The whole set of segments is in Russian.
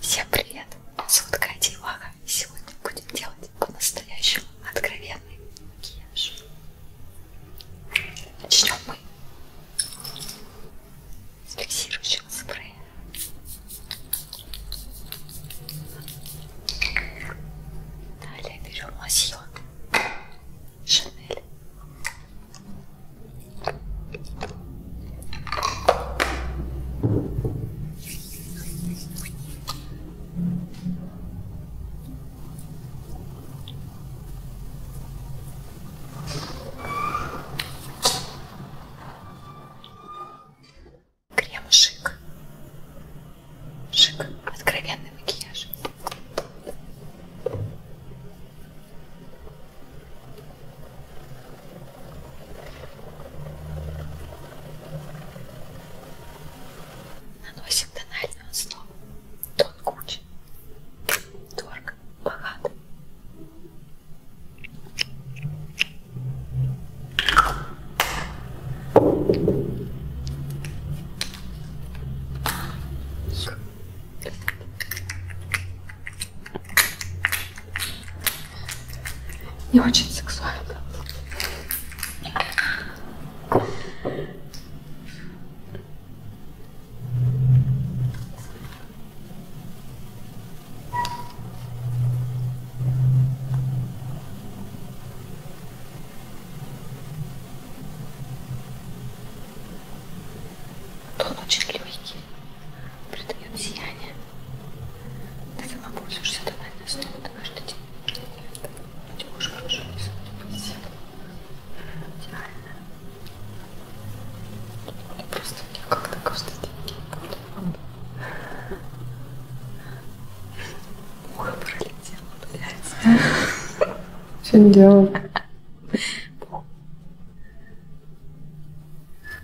Всем привет! Сутка Дивага. Сегодня будем делать по-настоящему откровенный макияж. Начнем мы с фиксирующего спрея. Далее берем лосьон Шанель. Крем шик. Шик. Откровенный макияж. Наносим тональную основу. Тон кучи. Торг богат. Не очень сексуально. Тонучек легкий придает сияние. Ты сама пользуешься тональной основой каждый день? Нет. У тебя уже хорошо рисует. Идеально. Просто я как-то каждый день буду. Ухо пролетело, блядь. Что не делала?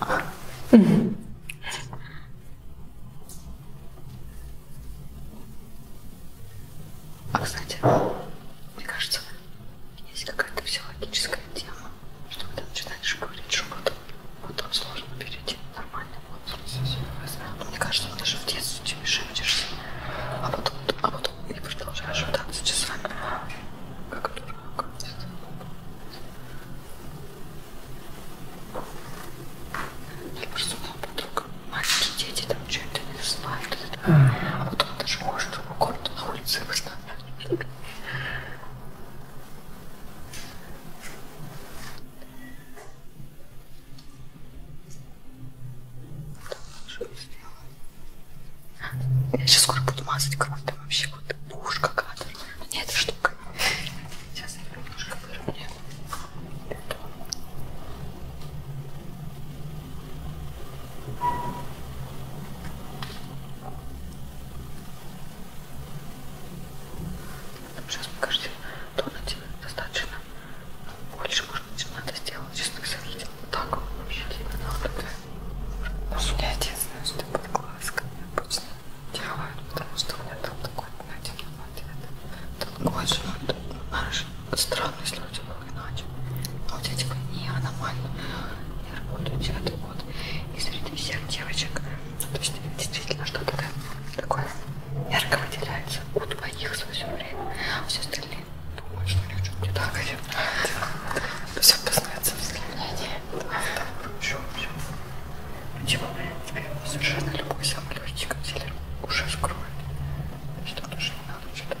А, кстати, мне кажется, есть какая-то психологическая тема, что когда начинаешь говорить, что потом, потом сложно перейти на нормальный возраст. Ну, мне кажется, даже в детстве тебе шепчешься, а потом, а потом и продолжаешь пытаться часами. Как дурак. Я просто моя подруга. Маленькие дети там что-то не знают. А вот он даже может в городу на улице восстанавливать. Я сейчас скоро буду мазать кровь, там вообще вот пушка какая-то. Мне эта штука. Сейчас я немножко выровняю. Там сейчас покажите, то на тебе достаточно. Больше, может быть, надо сделать, честно все видел. Так вообще видно надо. У меня единственное, что под глазками обычно делают, потому что у меня там такой один ответ. Тут очень хорошо. Странность люди все было иначе. А вот эти не аномально не работают девятый год. И среди всех девочек, то есть действительно что-то такое ярко выделяется у двоих за все время. А все остальные думают, что у них что-то не так. Все познается взгляние. Все, все. Почему? Теперь совершенно любой самолетчик в теле уже скроет. Что тоже не надо что-то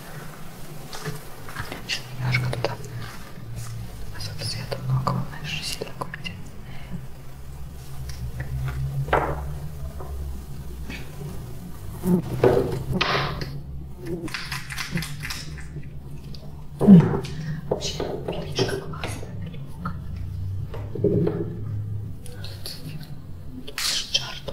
Сейчас немножко туда. Особо света много, он, знаешь, сильно губит. Вообще, видишь, как классная пленка. Тут видишь, жар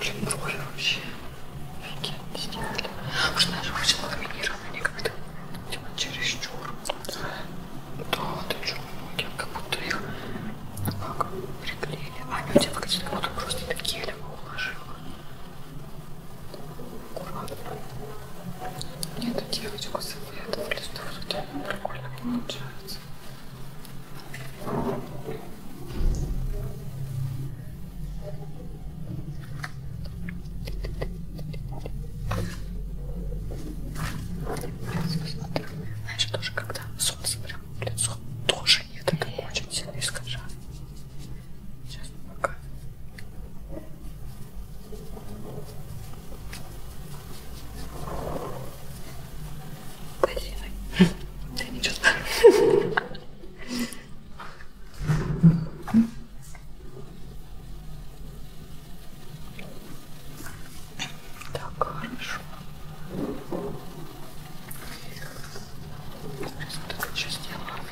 Блин, брови вообще офигенно сделали. Уж даже очень ламинированные никогда. Типа чересчур. Да, ты что, ноги, как будто их ну, как, приклеили. А они у тебя выглядят, как будто просто ты гелем уложила. Аккуратно. Нет, девочку с этого, это просто прикольно получается. Знаешь, тоже когда солнце прям в лицо, тоже я так очень сильно искажаю. Сейчас пока. Спасибо. Да не чувствую. Так, хорошо. Сейчас вот так еще сделаю.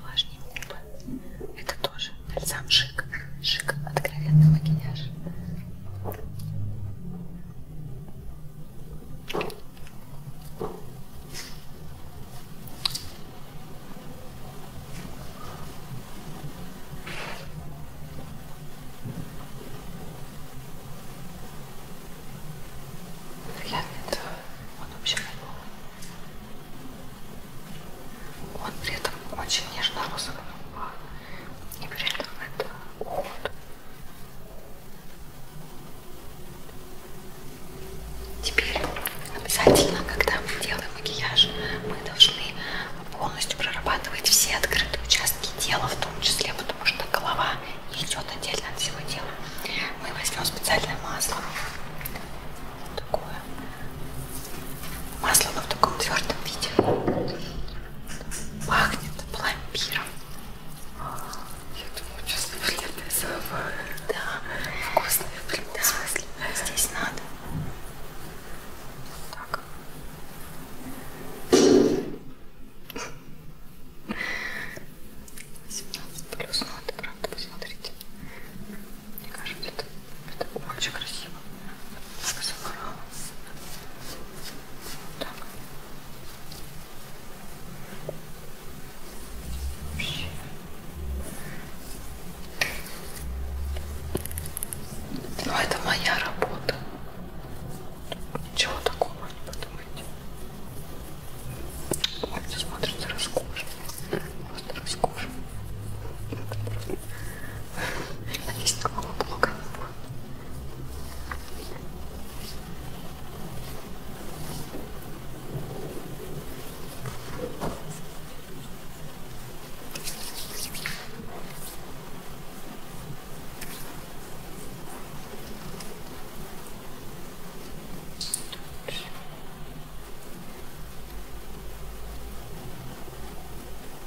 Влажные губы. Это тоже бальзам шик. Шик, откровенный макияж. Приятный это он вообще Он при этом очень нежно розовый и при этом это уход. Теперь обязательно, когда мы делаем макияж, мы должны полностью прорабатывать все открытые участки тела, в том числе, потому что голова не идет отдельно от всего тела. Мы возьмем специальное масло, вот такое, Масло оно в таком твердом виде. Пахнет пломбиром. Я думаю, сейчас наверное, самое. Да, вкусное в любом да. смысле. Здесь надо. Так. Семнадцать плюс, ну это правда, посмотрите. Мне кажется, это, это очень красиво. Сказала так. Вообще. Ну это моя работа. Ничего такого не подумайте. Вот, смотрите, роскошно. Просто роскошно. Есть голова блока. Тут.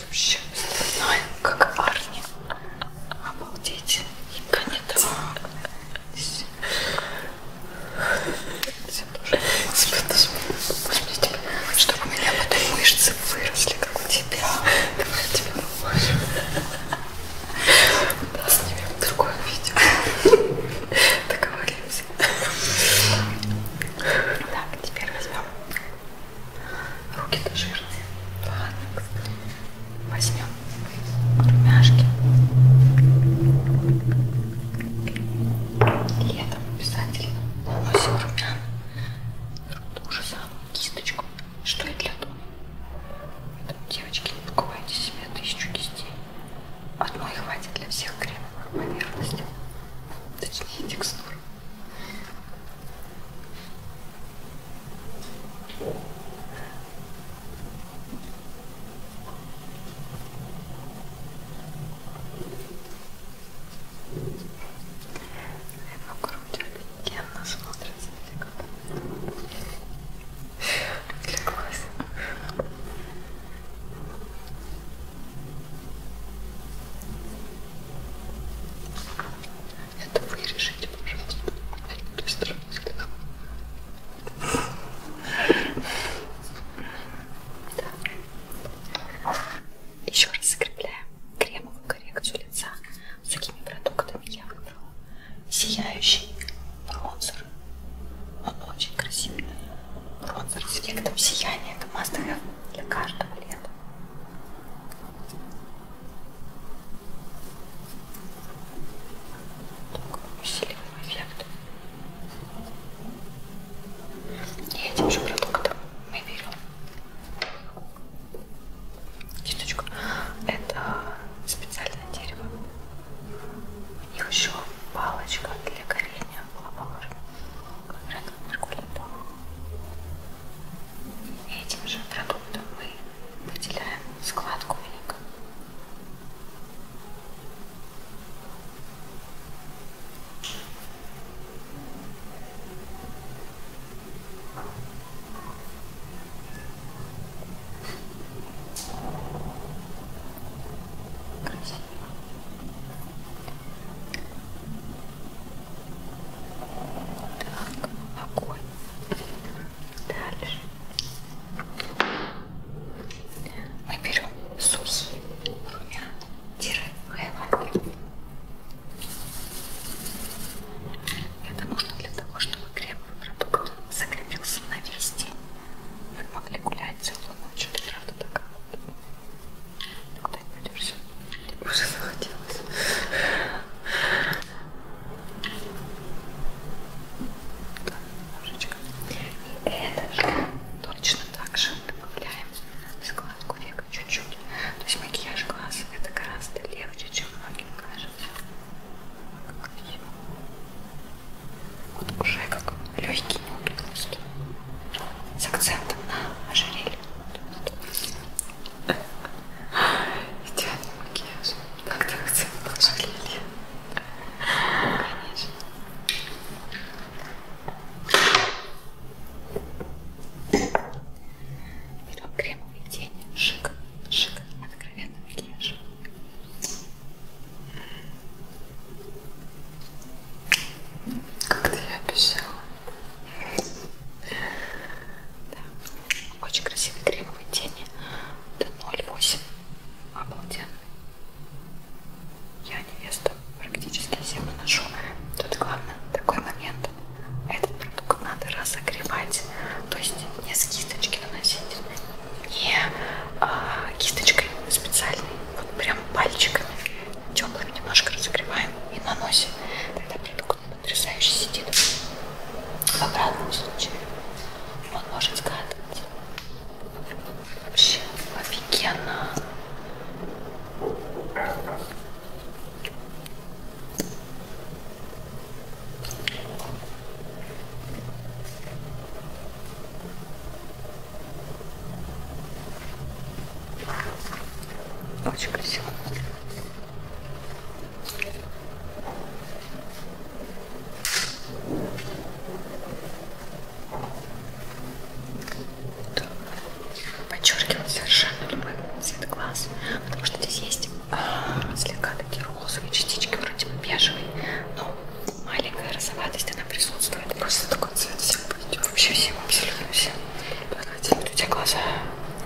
Ты вообще стальная, как Арни. Обалдеть. И конец. Чтобы у меня потом мышцы выросли, как у тебя. Давай я тебя поможем. Да, снимем другое видео. Договоримся. Так, теперь возьмем Руки-то жирные. Ладно, возьмем румяшки. Летом обязательно наносим румяна. Ту же самую кисточку, что и для дома. Поэтому, девочки, не покупайте себе тысячу кистей. Одной хватит для всех кремовых поверхностей. Точнее, текстур. Его грудь офигенно смотрится для глаз. Это вырежете пожалуйста. Быстро. Да. Еще раз закрепляем кремовую коррекцию лица с такими продуктами я выбрала сияющий бронзер. Он очень красивый. Бронзер с эффектом сияния. Это must have для каждого лета такой усиливаем эффект. И этим же продуктом мы берем кисточку. Это специальное дерево. У них еще палочка для горения была положена. Этим же продуктом будто мы выделяем складку веника. Красиво. Так, огонь. Дальше. Мы берем сухие румяна-хайлайтеры. Это нужно для того, чтобы кремовый продукт закрепился на вести. Вы могли гулять целую ночь от града до кого-то. Куда-нибудь уже захотелось. Да, немножечко. И это же точно так же добавляем на складку века чуть-чуть. То есть макияж глаз это гораздо легче, чем многим кажется. Вот уже как легкий нюд просто. С акцентом на ожерелье. Идеальный макияж. Как-то хотя бы пожалели. Конечно. Берем кремовый тень. Шик. Шик. Откровенный макияж. Как-то я обещала. Да. Очень красивые кремовые тени. Это 0,8. Обалденно. Я невеста практически всем наношу. Тут главное такой момент. Этот продукт надо разогревать. То есть не с кисточки наносить, не а, кисточкой специальной. Вот прям пальчиками. Теплыми немножко разогреваем и наносим. Тогда продукт как он потрясающе сидит. В обратном случае он может скатывать. Вообще офигенно. Очень красиво. Подчеркиваю совершенно любой цвет глаз, потому что здесь есть а, слегка такие розовые частички, вроде бы бежевый, но маленькая розоватость, она присутствует. Просто такой цвет всем пойдет. Вообще всем, абсолютно всем. Давайте у тебя глаза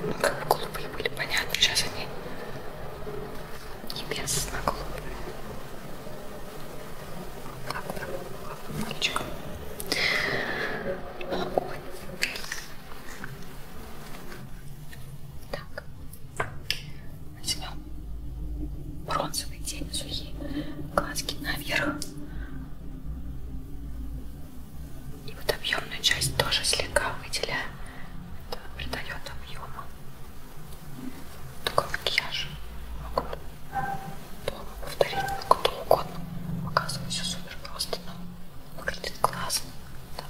ну, как бы голубые такие были понятны, сейчас они небесно голубые. Как там, как там мальчик? Огонь. Так, возьмем бронзовый тень, сухие глазки наверх. И вот объемную часть тоже слегка выделяем. Это придает объему. Такой макияж могут повторить кто угодно. Показываю все супер просто, но выглядит классно. Да.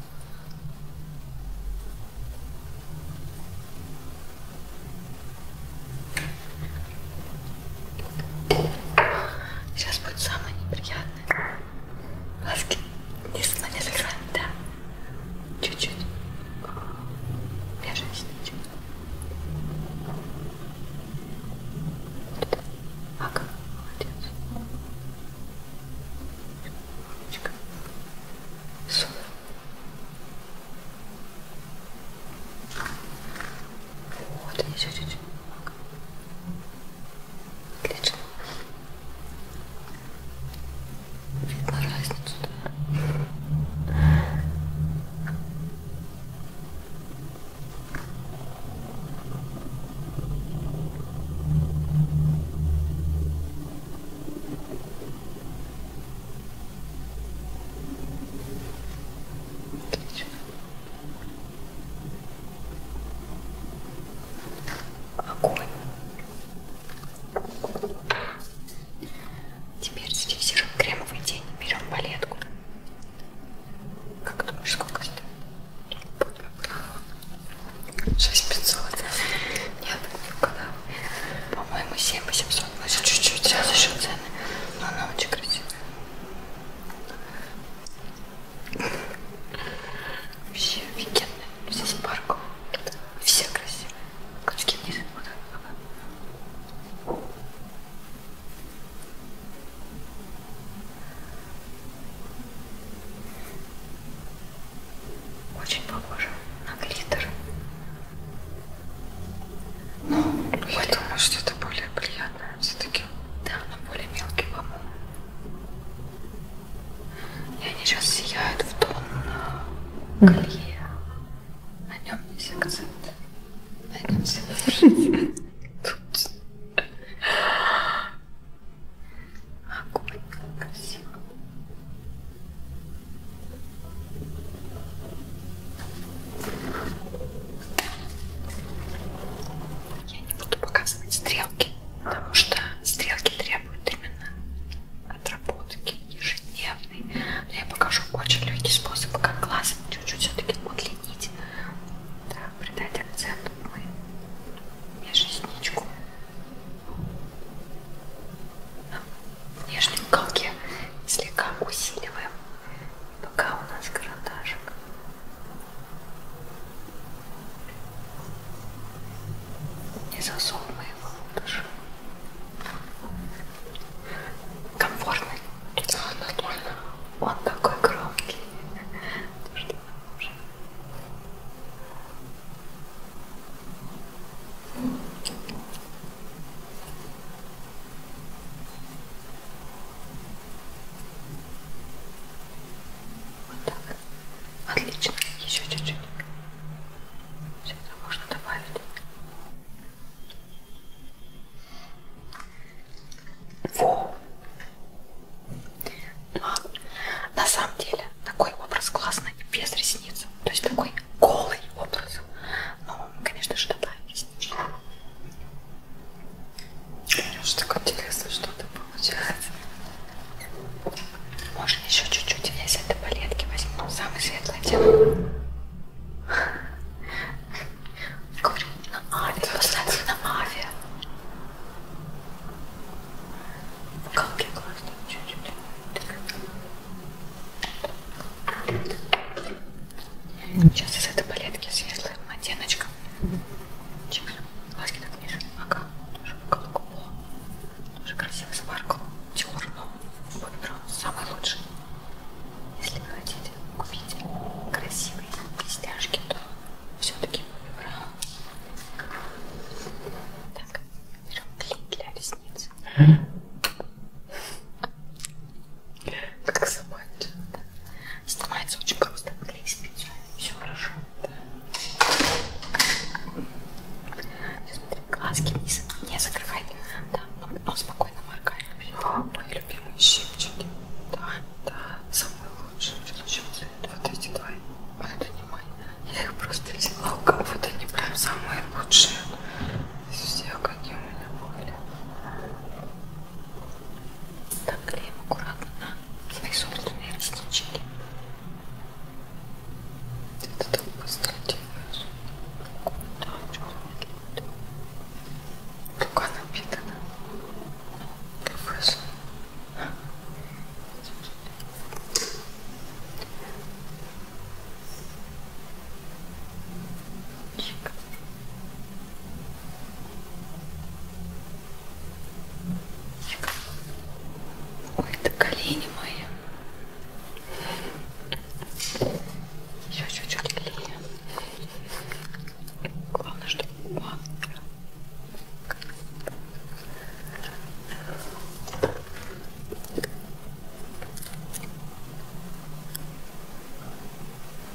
Сейчас будет самое неприятное. Глазки вниз на закрываем, да. Чуть-чуть. Я женщина, чуть. Ага, молодец. Чуть. Сон. Вот, еще чуть-чуть немного. Отлично. Видно разницу, да? Отлично огонь. Теперь зафиксируем кремовый тень. Берем палетку. Как думаешь, сколько это? 6500. Нет, не По-моему, 7800. Мы же чуть-чуть сразу еще цены. Но она очень красивая. Все офигенные, ну, все с парком, все красивые. Крючки вниз. Вот. Очень похоже на глиттер. Ну, я это... думаю, что это более приятное все-таки. Да, но более мелкий, по-моему. И они сейчас сияют в тон на колье. На нем есть акцент. На нем все Тут. Огонь, как красиво. Я не буду показывать стрелки стрелки, потому что стрелки требуют именно отработки ежедневной. Но я покажу очень легкий способ, как глазом чуть-чуть все-таки удлинить, да, придать акцент мы межресничку на нижнем уголке слегка усиливаем, пока у нас карандашик не засов моего лучше. Комфортный. Да, нормально. Он такой громкий. Вот так. Отлично. Еще чуть-чуть. Все это можно добавить. Во! На самом деле такой образ классный без ресниц. То есть такой голый образ. Но, ну, конечно же, добавить реснички. Что так интересно что-то получается. Можно еще чуть-чуть, я с этой палетки возьму. Самый светлый дело. Говорю, на авиа, посмотри на авиа. Как я классно, чуть-чуть. Сейчас из этой палетки светлая оттеночка. Чикс. Глазки так ниже. Ага. Тоже голубого. Тоже красиво смаркал. Черного. Выбрал. Самый лучший. Если вы хотите купить красивые кистяшки, то все-таки выбрал. Так, берем клей для ресниц. Как снимается. Снимается очень просто. Клей специально, все хорошо. Сейчас смотри, глазки вниз, не закрывай. Да, но, но спокойно моргай. Мои любимые щипчики. Да, да, самые лучшие. Вот эти два. Вот это не мои. Я их просто взяла у кого-то, они прям самые лучшие. Из всех, какие у меня были. Так клеим аккуратно на свои собственные реснички. Это так быстро делаешь. Рука напитана. Выше. Чик. Ой, это колени мои. Еще чуть-чуть колени. Главное, чтобы... Ой,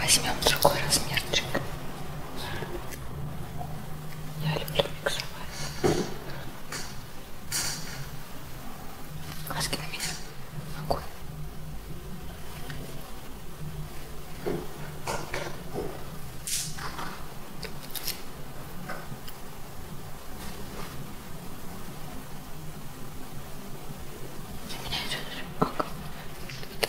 Возьмем другой размерчик. Я люблю миксовать. Глазки на меня. Огонь. Для меня это даже огонь. Ой,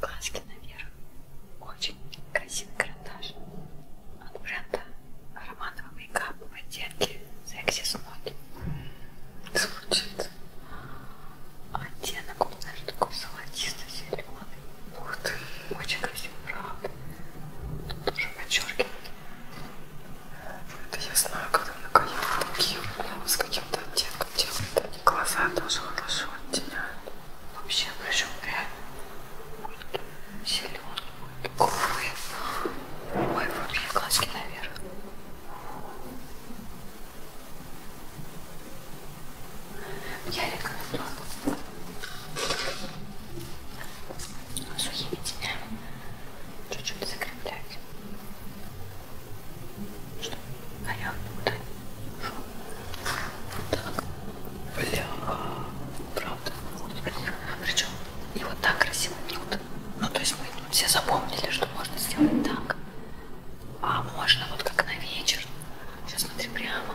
Глазки наверх. Очень красивый карандаш от бренда Романова Мейкап в оттенке Sexy Smooth. Звучит оттенок у нас такой золотисто-зеленый. Ух ты! Очень красивый правда. Тоже подчеркивает. Это я знаю, когда наконец такие прям с каким-то оттенком делают. Глаза тоже хорошо оттеняют. Вообще, причем реально зеленый, голубые. Ой, вот я глазки наверх. Я рекомендую сухими тенями чуть-чуть закреплять, чтобы горел туда Вот так. Бля, правда. Причем и вот так красиво бьют. Ну то есть мы все запомнили, что можно сделать так. А можно вот как на вечер. Сейчас смотри прямо.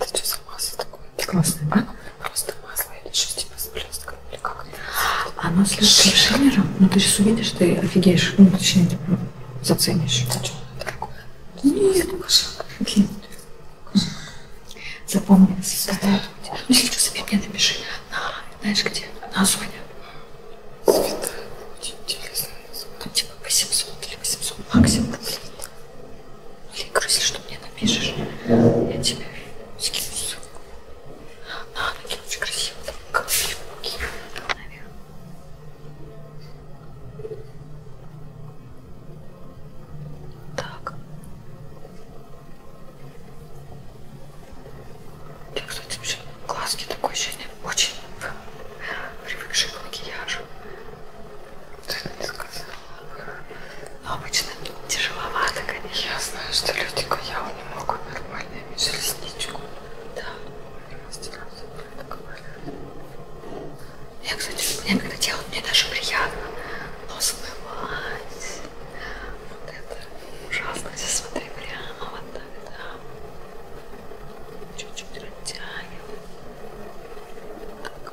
Это что за масло такое? Классное, да? Просто масло или что, типа с блестком или как? Оно с шиллером, но ты сейчас увидишь, ты офигеешь, ну, точнее, типа, заценишь. А что оно такое? Нет, Окей. Запомнилось. Святая Луди. Ну, если что, себе мне напиши. На, знаешь где? На Зоне. Святая Луди. Интересное название. Там типа 800 или 800 максимум. Линкор, если что, мне напишешь, я тебе скину ссылку. На, ноги очень красиво, там, как фигурки, наверное. Так. Я, кстати, вообще глазки такой ощущение, очень привыкший к макияжу. Ты не сказала. Но обычно тяжеловато, конечно. Я знаю, что люди Куявы не могут нормально иметь ресничку. Да. Я, кстати, меня когда делают, мне даже приятно. Но смывать. Вот это ужасно. Здесь смотри прямо вот так, да. Чуть-чуть растягиваем. Так.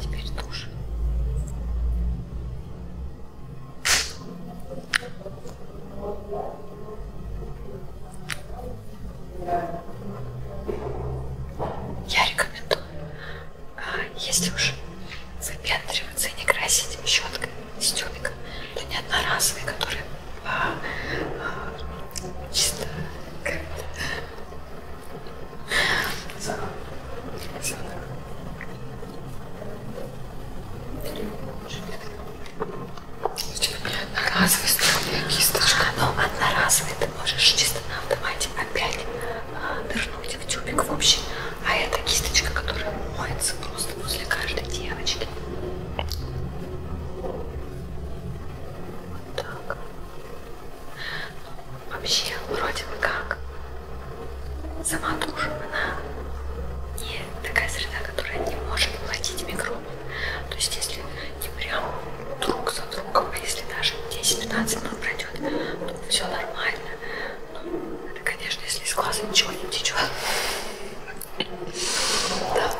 Теперь тоже. Я рекомендую, а, если уж выпендриваться и не красить щеткой с тюбиком, да не одноразовые, которые а, а, чисто как за, за... Одноразовый струйная кисточка, но ну, одноразовый ты можешь чисто на автомате опять а, нырнуть в тюбик в общем. А это кисточка, которая моется просто возле каждой девочки. Так. Вообще, вроде бы как сама дружина, она не такая среда, которая не может платить микробы. То есть если не прям друг за другом, а если даже 10-15 минут пройдет, то все нормально. Ну, это, конечно, если из глаза ничего не течет. Да.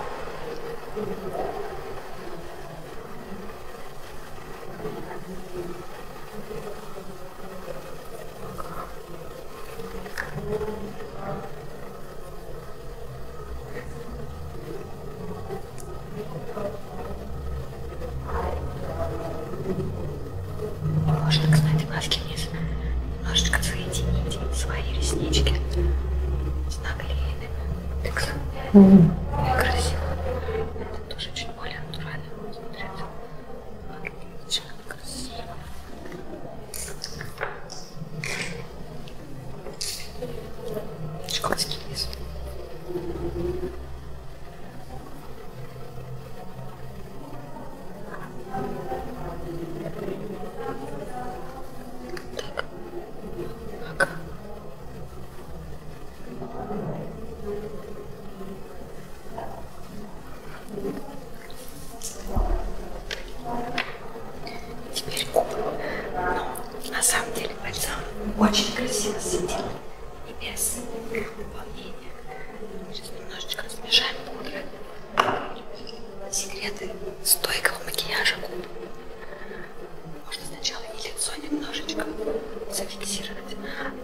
Можно, кстати, глазки вниз немножечко соедините свои реснички с наклеенными. Так, mm -hmm. красиво. Это тоже чуть более натурально смотрится. Отлично, красиво. Школьский лес. Теперь губы. Ну, на самом деле бальзам очень красиво сидит и без волнения. Сейчас немножечко смешаем пудры. Секреты стойкого макияжа губ. Можно сначала и лицо немножечко зафиксировать.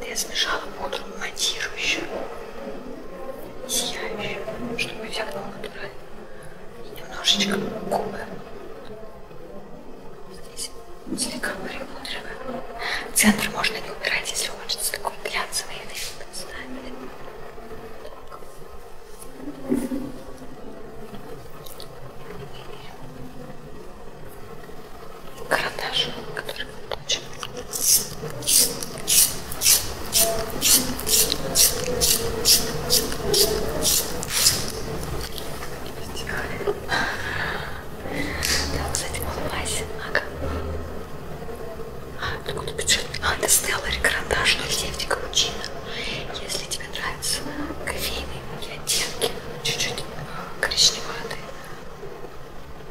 Да я смешала пудру матирующую и сияющую, чтобы эффект был натуральный. И немножечко губы. Здесь слегка перепудриваем. Центр можно не убирать, если хочется такой глянцевый эффект. Ставим карандаш, который мы получим. Там, кстати, улыбайся, ага. Тут бюджетный Анна Стеллари, карандаш 0,7 капучино. Если тебе нравятся кофейные оттенки, чуть-чуть а, коричневатые,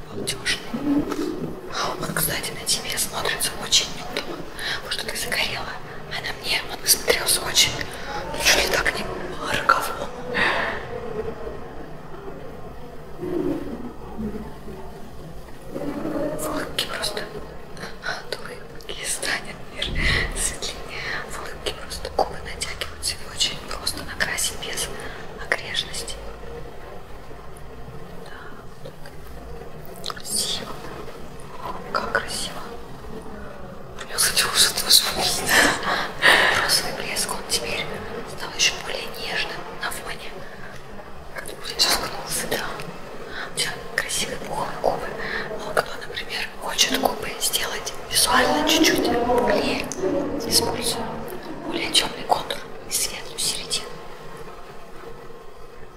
молодежные. А, он, кстати, на тебе смотрится очень неудобно, потому что ты загорела, а на мне он смотрелся очень, ну, чуть ли так не по-роковому. В улыбке просто от улыбки станет мир светлее. В улыбке просто губы натягиваются и очень просто накрасить без огрежности. Да. Красиво. Как красиво. Я хотела что-то вспомнить. Розовый блеск, он теперь стал еще более нежным на фоне сейчас волосы, да. У тебя красивые пуховые губы. А кто, например, хочет губы сделать визуально чуть-чуть более, использую более темный контур и светлую середину.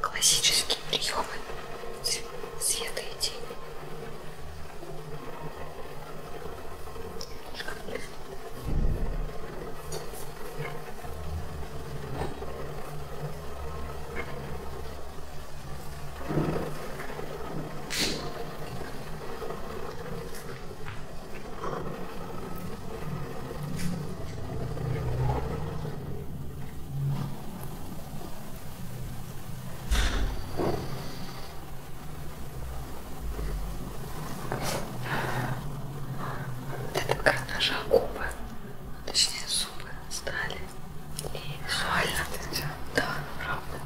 Классические приемы света и тени. Это такая наша окопа точнее зубы стали и визуально да, правда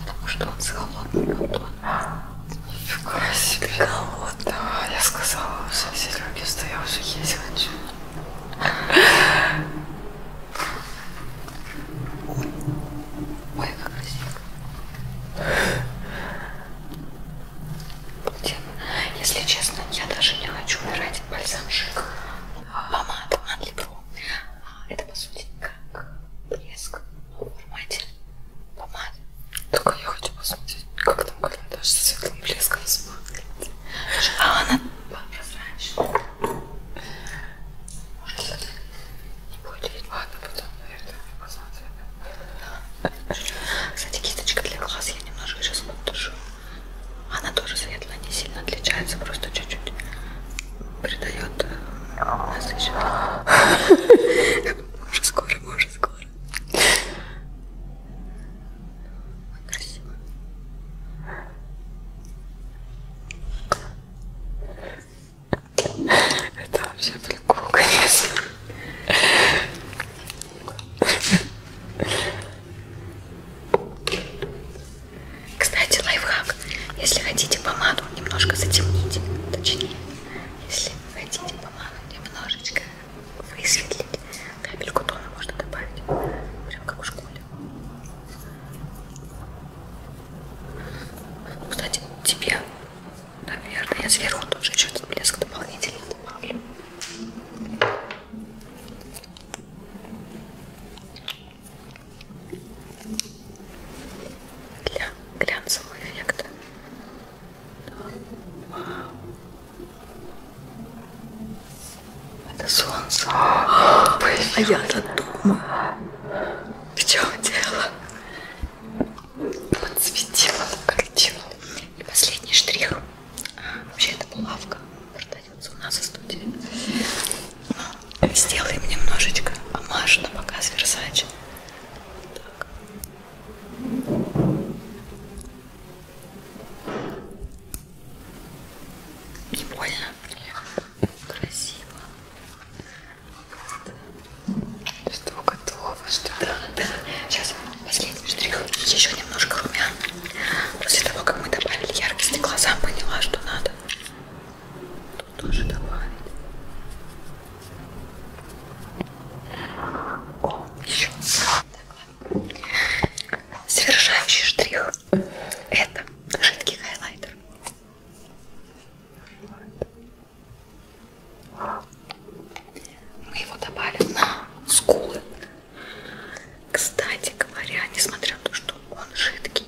потому что он с холодным бутон нифига себе холодного я сказала, уже Сереге, что я уже есть хочу Ой, как красиво. Если честно, я даже не хочу убирать бальзамчик. Помада Анлибро. А, это по сути как блеск в формате помады. Только я хочу посмотреть, как там карандаш с светлым блеском смотрит. А она прозрачная. Может, Будет. Ладно, потом, наверное, посмотрим. Кстати, кисточка для глаз я немножко сейчас подтушу. Она тоже светлая, не сильно отличается, просто чуть-чуть придает э, насыщенность. Уже скоро, уже скоро. Красиво. Это вообще прикол, конечно. Кстати, лайфхак. Если хотите помаду немножко затемнить, точнее, если хотите помаду немножечко высветлить, капельку тона можно добавить, прям как в школе. Кстати, тебе Наверное, я сверху тоже что-то блеск дополнительно добавлю. Для глянцевого эффекта. Вау. Это солнце. А я-то думаю. В чем дело? подсветила на картину. И последний штрих. А, вообще это булавка. Продается у нас в студии. Сделаем немножечко амаш на показ Версачи. Так. Не больно. Красиво. Что готово, что да, да. Сейчас последний штрих. Еще немножко румян. После того, как мы добавили яркости глазам, поняла, что надо. Тут тоже добавить. О, еще. Так, Совершающий штрих. Это жидкий хайлайтер. Мы его добавим на скулы. Кстати говоря, несмотря на то, что он жидкий,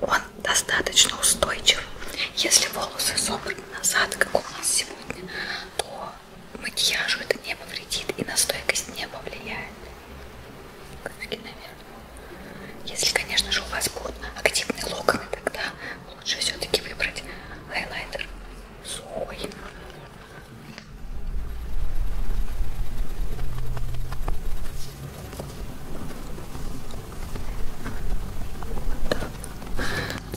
он достаточно устойчив. Если волосы собраны назад, как у нас сегодня, то макияжу это не повредит и на стойкость не повлияет. Если, конечно же, у вас будут активные локоны, тогда лучше все-таки выбрать хайлайтер сухой.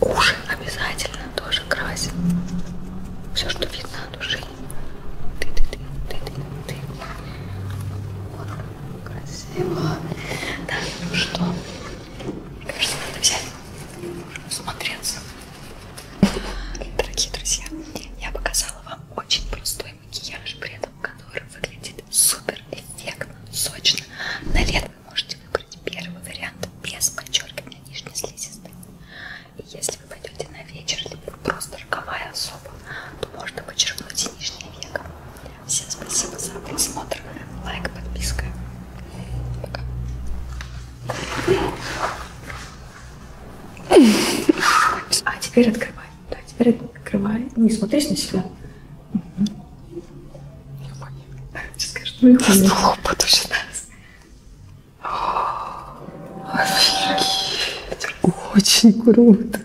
Уши обязательно тоже красим. Все, что видно от души. Ты, ты, ты, ты, ты, ты. Вот, красиво. Да, ну что? Кажется, надо взять, смотреться. Дорогие друзья, я показала вам очень простой макияж, при этом который выглядит супер эффектно, сочно. На лето вы можете выбрать первый вариант без подчеркивания нижней слизистой. И если вы пойдете на вечер, либо просто роковая особа, то можно подчеркнуть и нижнее веко. Всем спасибо за просмотр. Лайк, подписка. Пока. А теперь открывай. Да, теперь открывай. Не смотришь на себя. Сейчас скажешь, ну и хлопот уже нас. Офигеть. Очень круто.